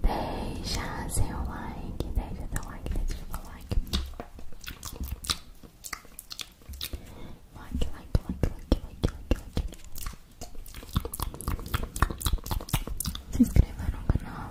Deixa seu like, deixa seu like, deixa seu like. Like, like, like, like, like, like, like. Se inscreva no canal.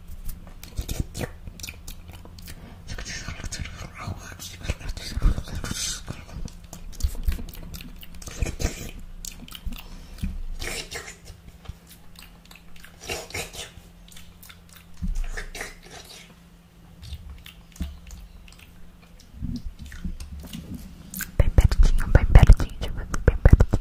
Bem pertinho, bem pertinho, bem pertinho.